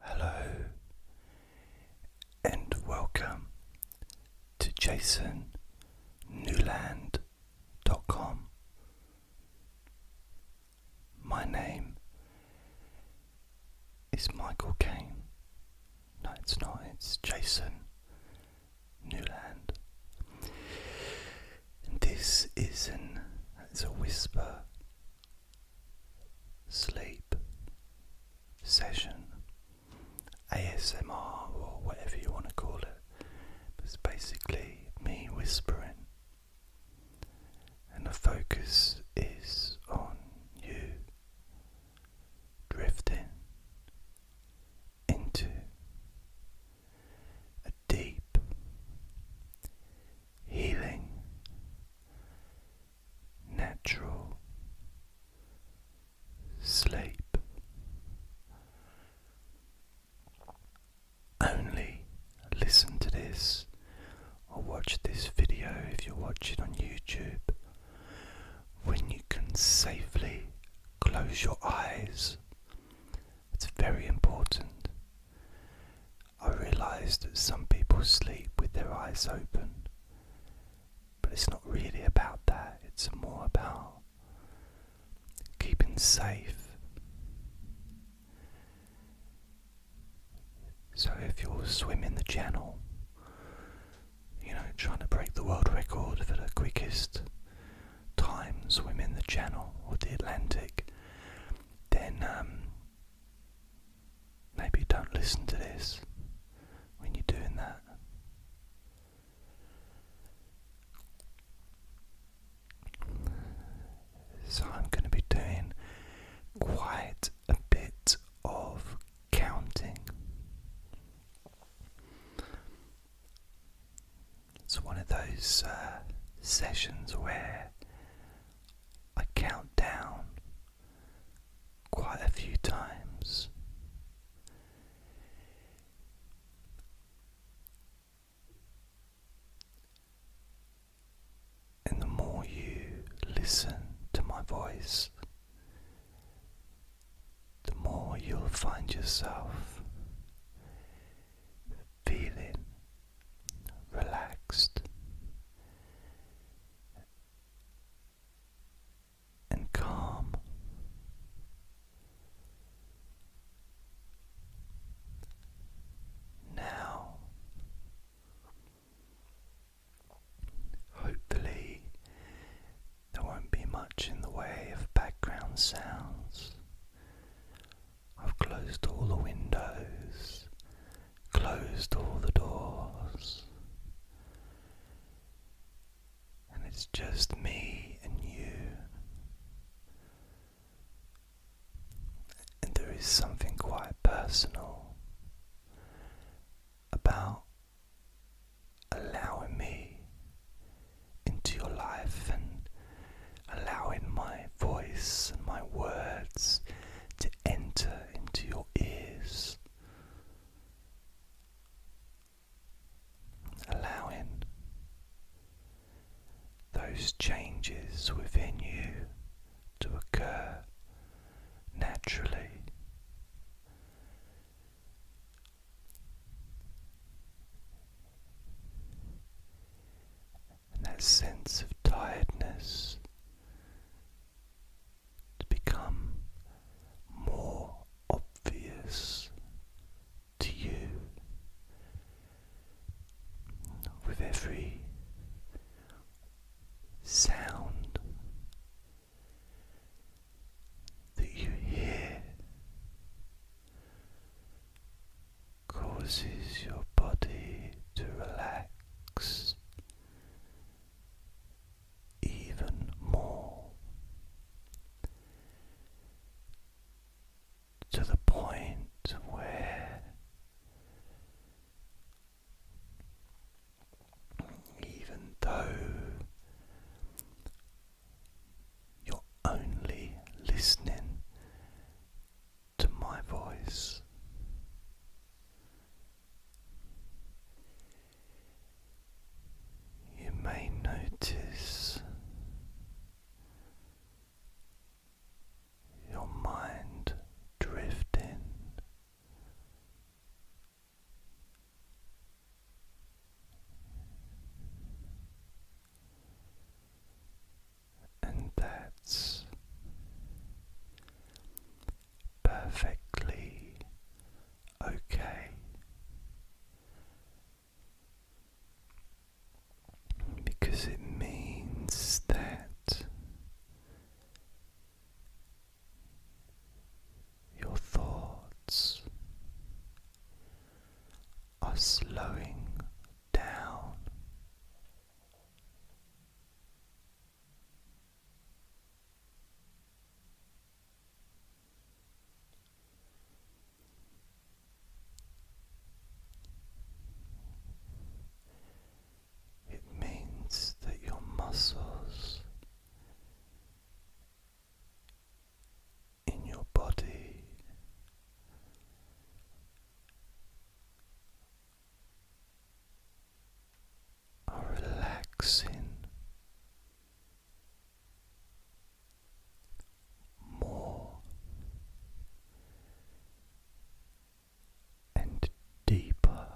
Hello and welcome to jasonnewland.com. My name is Michael Kane. No, it's not, it's Jason Newland. this is an it's a whisper sleep session, ASMR, or whatever you want to call it. It's basically me whispering, and the focus is on you drifting into a deep, healing, natural sleep. Only listen to this or watch this video if you are watching on YouTube when you can safely close your eyes. It's very important. I realise that some people sleep with their eyes open, but it's not really about that, it's more about keeping safe. So if you're swimming the channel, you know, trying to break the world record for the quickest time swimming the channel or the Atlantic, then um, Maybe don't listen to this when you're doing that. So, I'm going to be doing quite a bit of counting. It's one of those uh, sessions where I count down quite a few times. And the more you listen to my voice, the more you'll find yourself feeling relaxed and calm. Now, hopefully, there won't be much in the way of background sounds I've closed all the windows, closed all the doors, and it's just me and you. And there is something quite personal about allowing me into your life and allowing my voice and my words to enter into your ears, allowing those changes within you to occur naturally and that sense of tiredness to become more obvious to you with every sound that you hear causes your body to relax even more to the point where even though you're only listening to my voice. You may notice your mind drifting and that's perfectly okay. Because it means that your thoughts are slowing down it means that your muscles in your body are relaxing more and deeper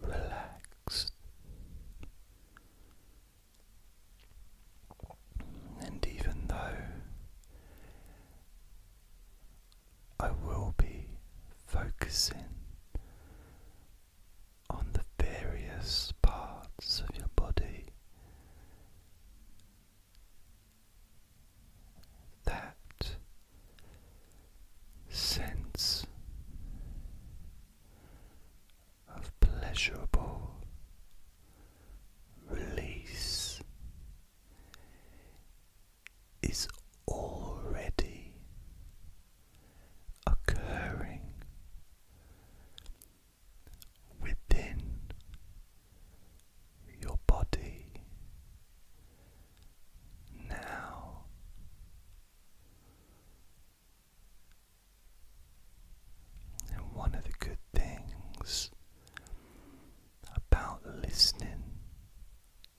relaxed and even though I will be focusing on the various parts of your body that sense of pleasurable release is already occurring within your body now. And one of the good things about listening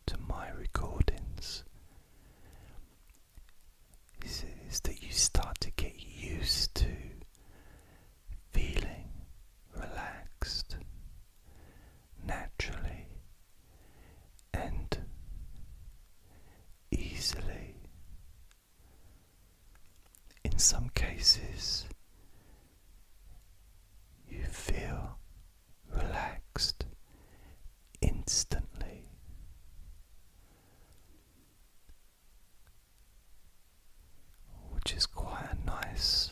to my recordings is, is that you start to get used to feeling relaxed naturally and easily. In some cases, you feel relaxed instantly. Which is quite a nice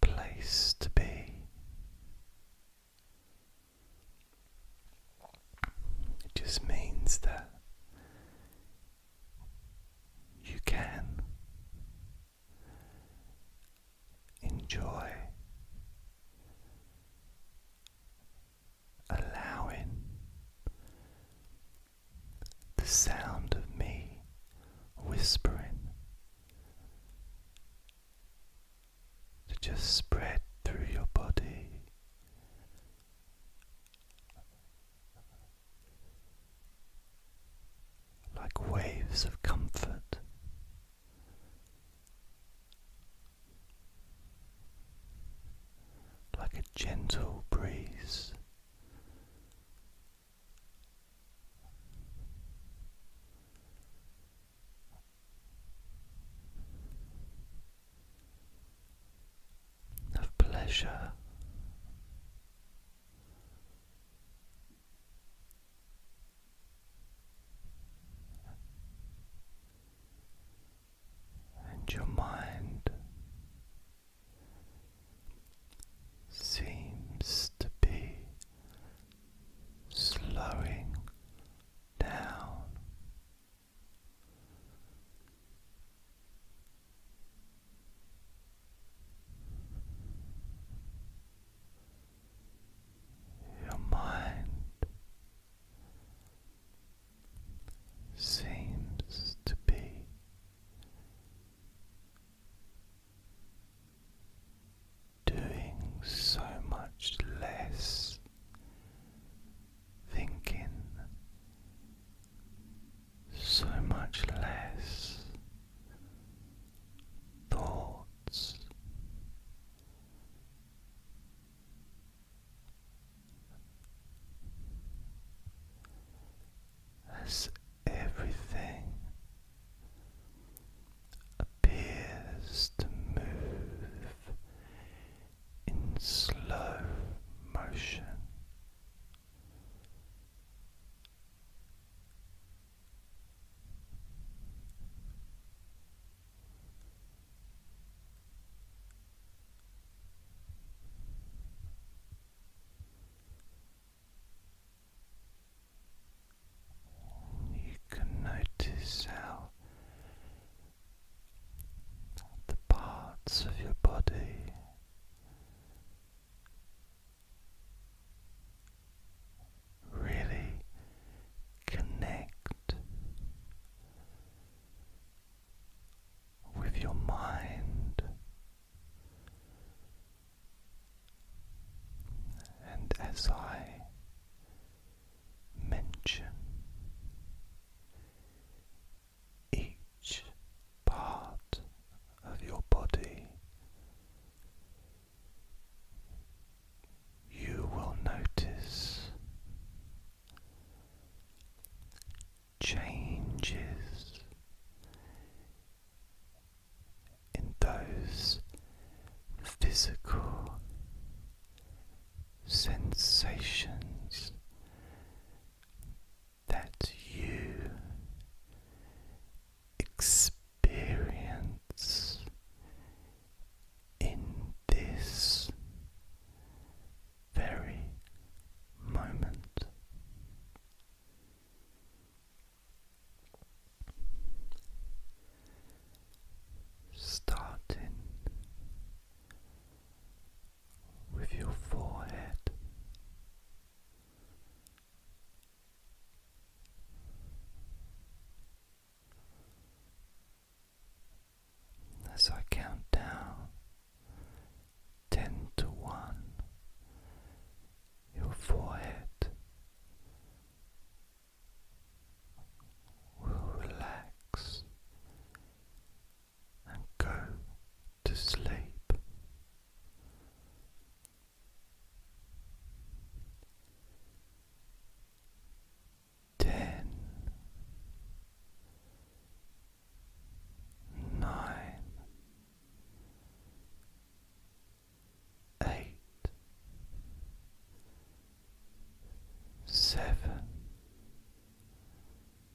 place to be. It just means that you can enjoy allowing the sound of me whispering to just spread through your body like waves of comfort. Like a gentle breeze, of pleasure. And your mind seems to be slowing down, your mind seems to be doing so much less thinking so much less thoughts. As everything appears to move in slow motion you can notice how the parts of your body really connect with your mind and as I mention each part of your body, you will notice changes in those physical sensations that you experience in this very moment. Starting with your forehead. As I count down ten to one, your forehead will relax and go to sleep. Ten, nine, eight, seven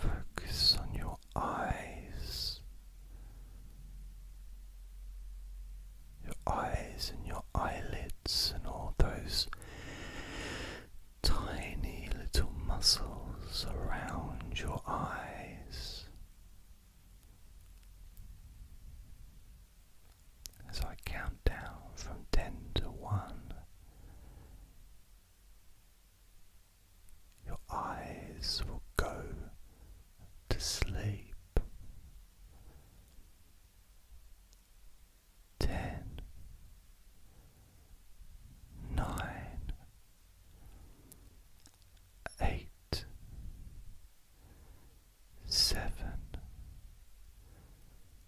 Focus on your eyes, your eyes and your eyelids, and all those tiny little muscles around your eyes. As I count down from ten to one, your eyes will go to sleep. Ten, nine, eight, seven,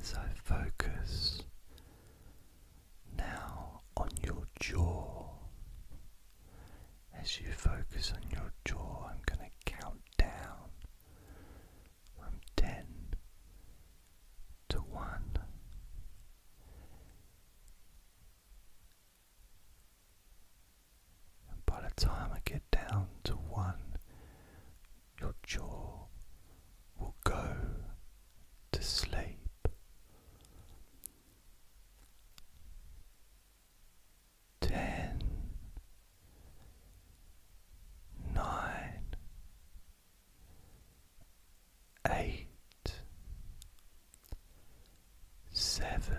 as I focus now on your jaw. As you focus on your jaw, I'm going to count down from 10 to 1. by the time I get down to 1, your jaw will go to sleep. Ten, nine, eight, seven,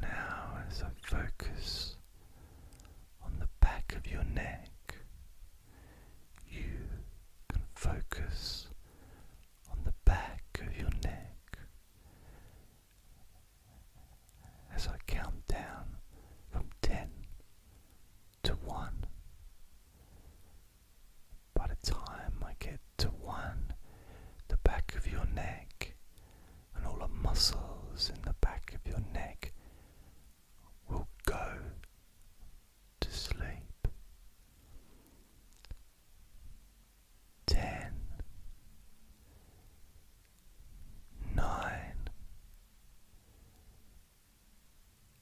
Now, as I focus on the back of your neck, you can focus on the back of your neck as I count down from ten to one. By the time I get to one, the back of your neck and all the muscles in the back of your neck will go to sleep. Ten, nine,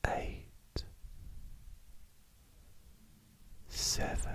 eight, seven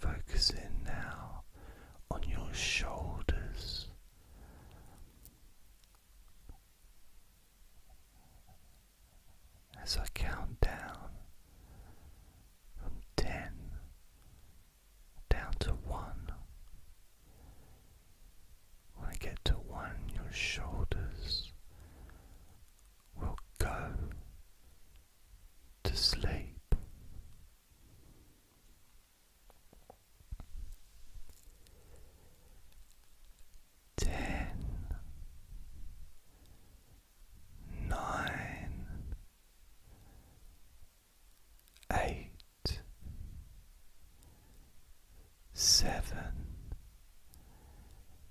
Focusing now on your shoulders. As I count down from ten down to one, when I get to one, your shoulders will go to sleep. Ten, nine, eight, seven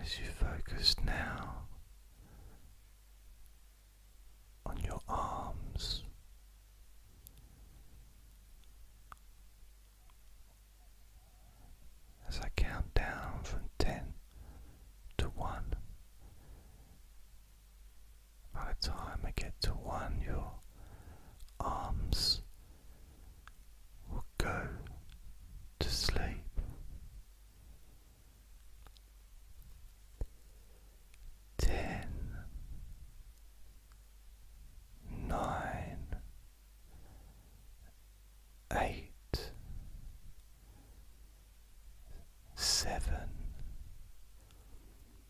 As you focus now on your arms, as I count down from ten to one, by the time I get to one, your arms will go to sleep. Ten, nine, eight, seven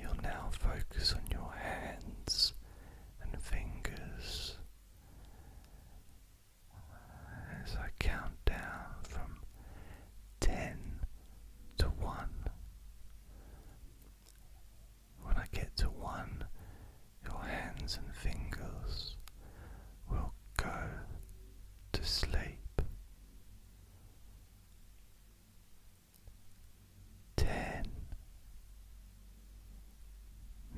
You'll now focus on your hands and fingers as I count down from ten to one. When I get to one, your hands and fingers will go to sleep. Ten,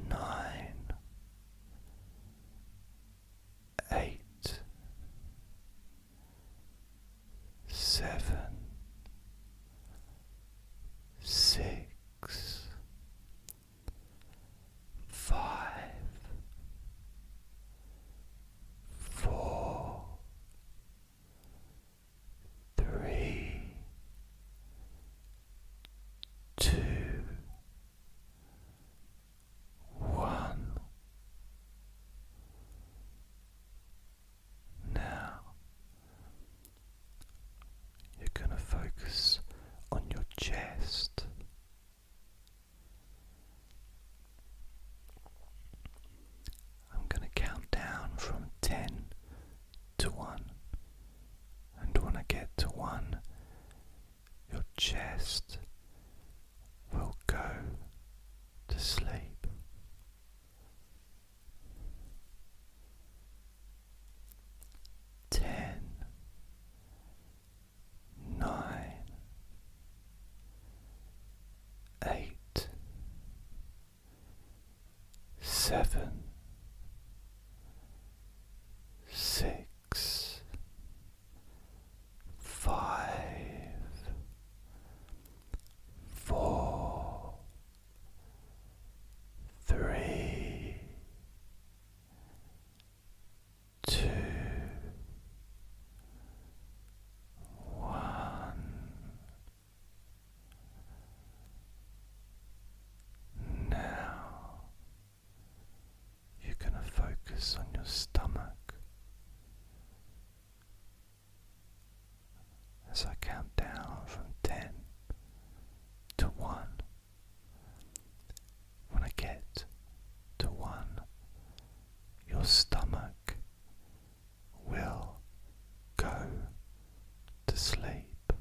nine, eight, seven, six, five, four, three, two, one. Now you're going to focus on your chest. I'm going to count down from 10 to 1. And when I get to 1, your chest will go to sleep. Ten, nine, eight, seven, six, five, four, three two, one. Now you're going to focus on your stomach as I count down from ten to one, when I get to one, your stomach will go to sleep.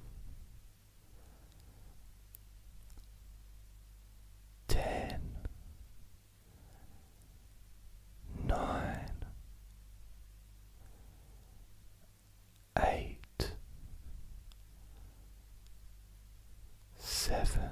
Ten, nine, eight, seven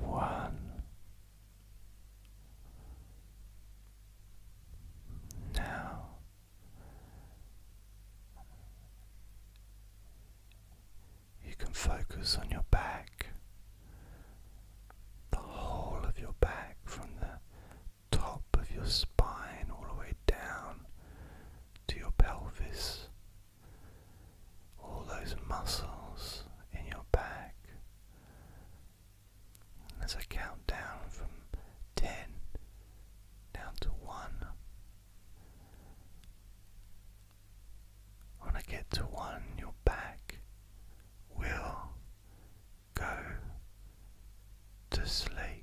one. Now you can focus on your back, the whole of your back from the top of your spine all the way down to your pelvis. All those muscles in your back as I count down from ten down to one, when I get to one, your back will go to sleep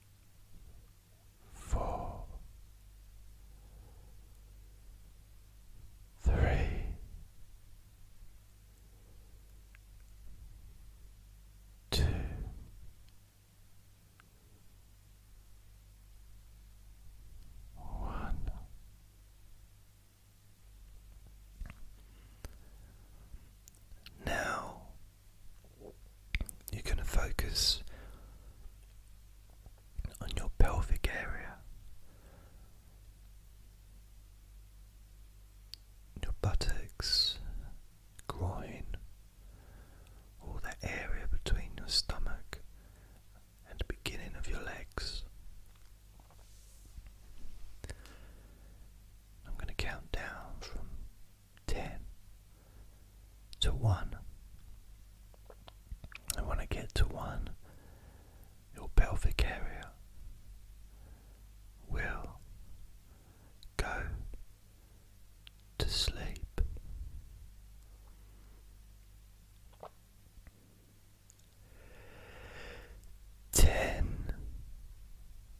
four, three, two, one. Now you're going to focus on your pelvic area, your buttocks, groin, all that area between your stomach and the beginning of your legs. I'm going to count down from 10 to 1. And when I get to 1, your pelvic area will go to sleep. Ten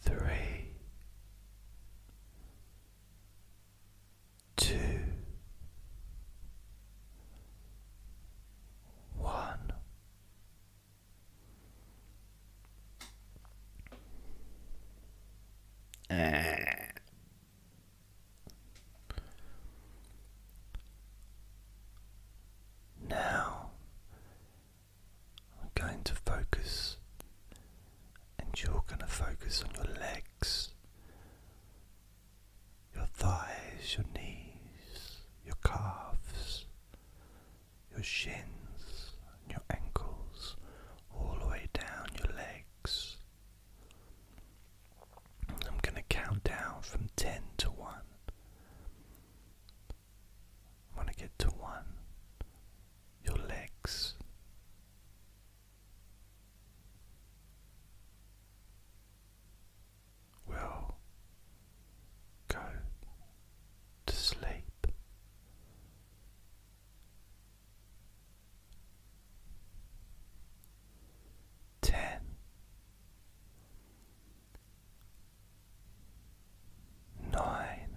three, two, one. Now I'm going to focus, and you're going to focus on your legs, your thighs, your knees, your calves, your shins, your ankles, all the way down your legs. I'm going to count down from 10 to 1. When I get to one, your legs. Will go to sleep. Ten, nine,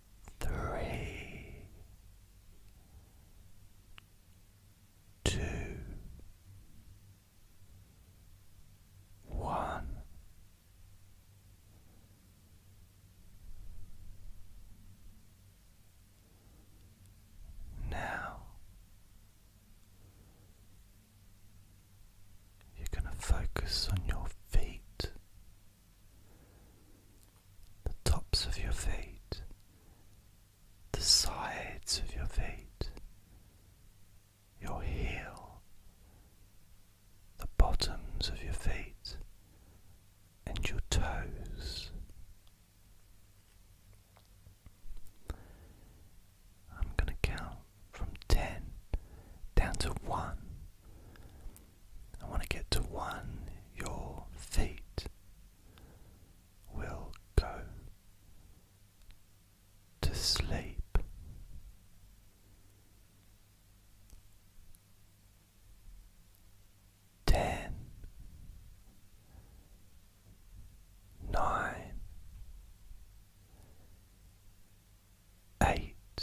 three, two, one. Now you're going to focus on your feet the tops of your feet, the sides of your feet, your heel, the bottoms of your feet, and your toes. I'm going to count from 10 down to 1 I want to get to one, your feet will go to sleep. Ten, nine, eight,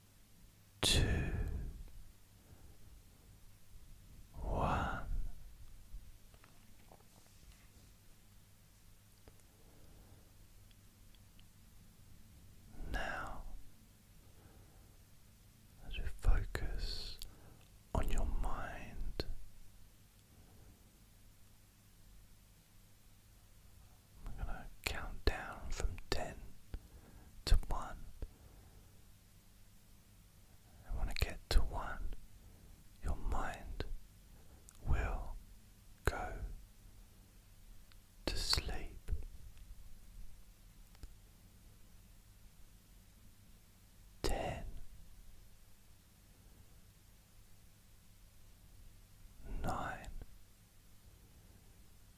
two, one. Now, as you focus on your mind, I'm going to count down from ten to one I want to get to one, your mind will go to sleep. Ten, nine,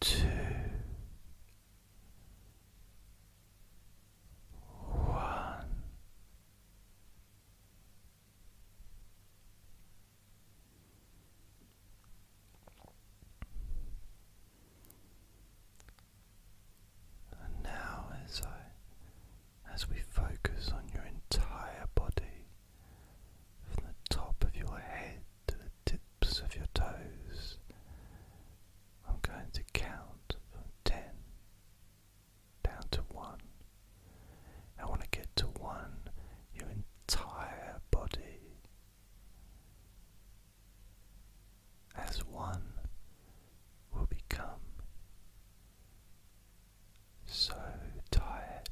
two, one. And now, as I, as we focus on your entire body, from the top of your head to the tips of your toes. I'm going to count from 10 down to 1. I want to get to 1, your entire body. As one will become so tired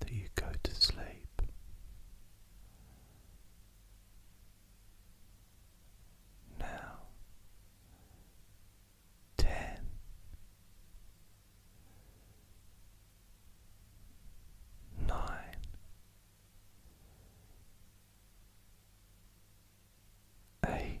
that you go to sleep. Now, ten. Nine, eight,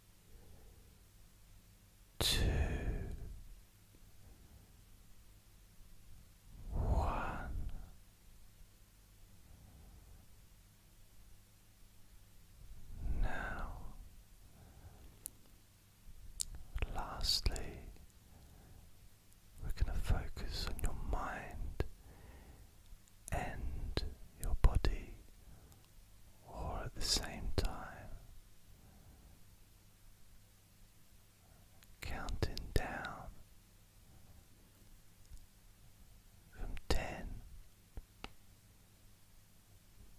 two, one. Now, lastly, we're going to focus on your mind and your body or at the same time counting down from ten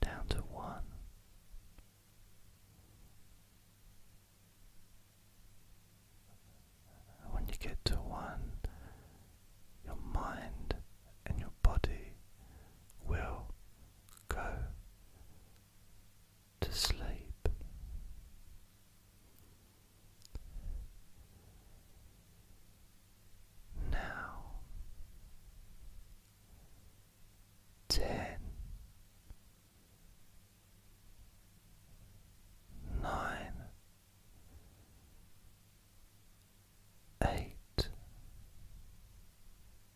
down to one. When you get to one, your mind and your body will go to sleep. Now ten, nine, eight,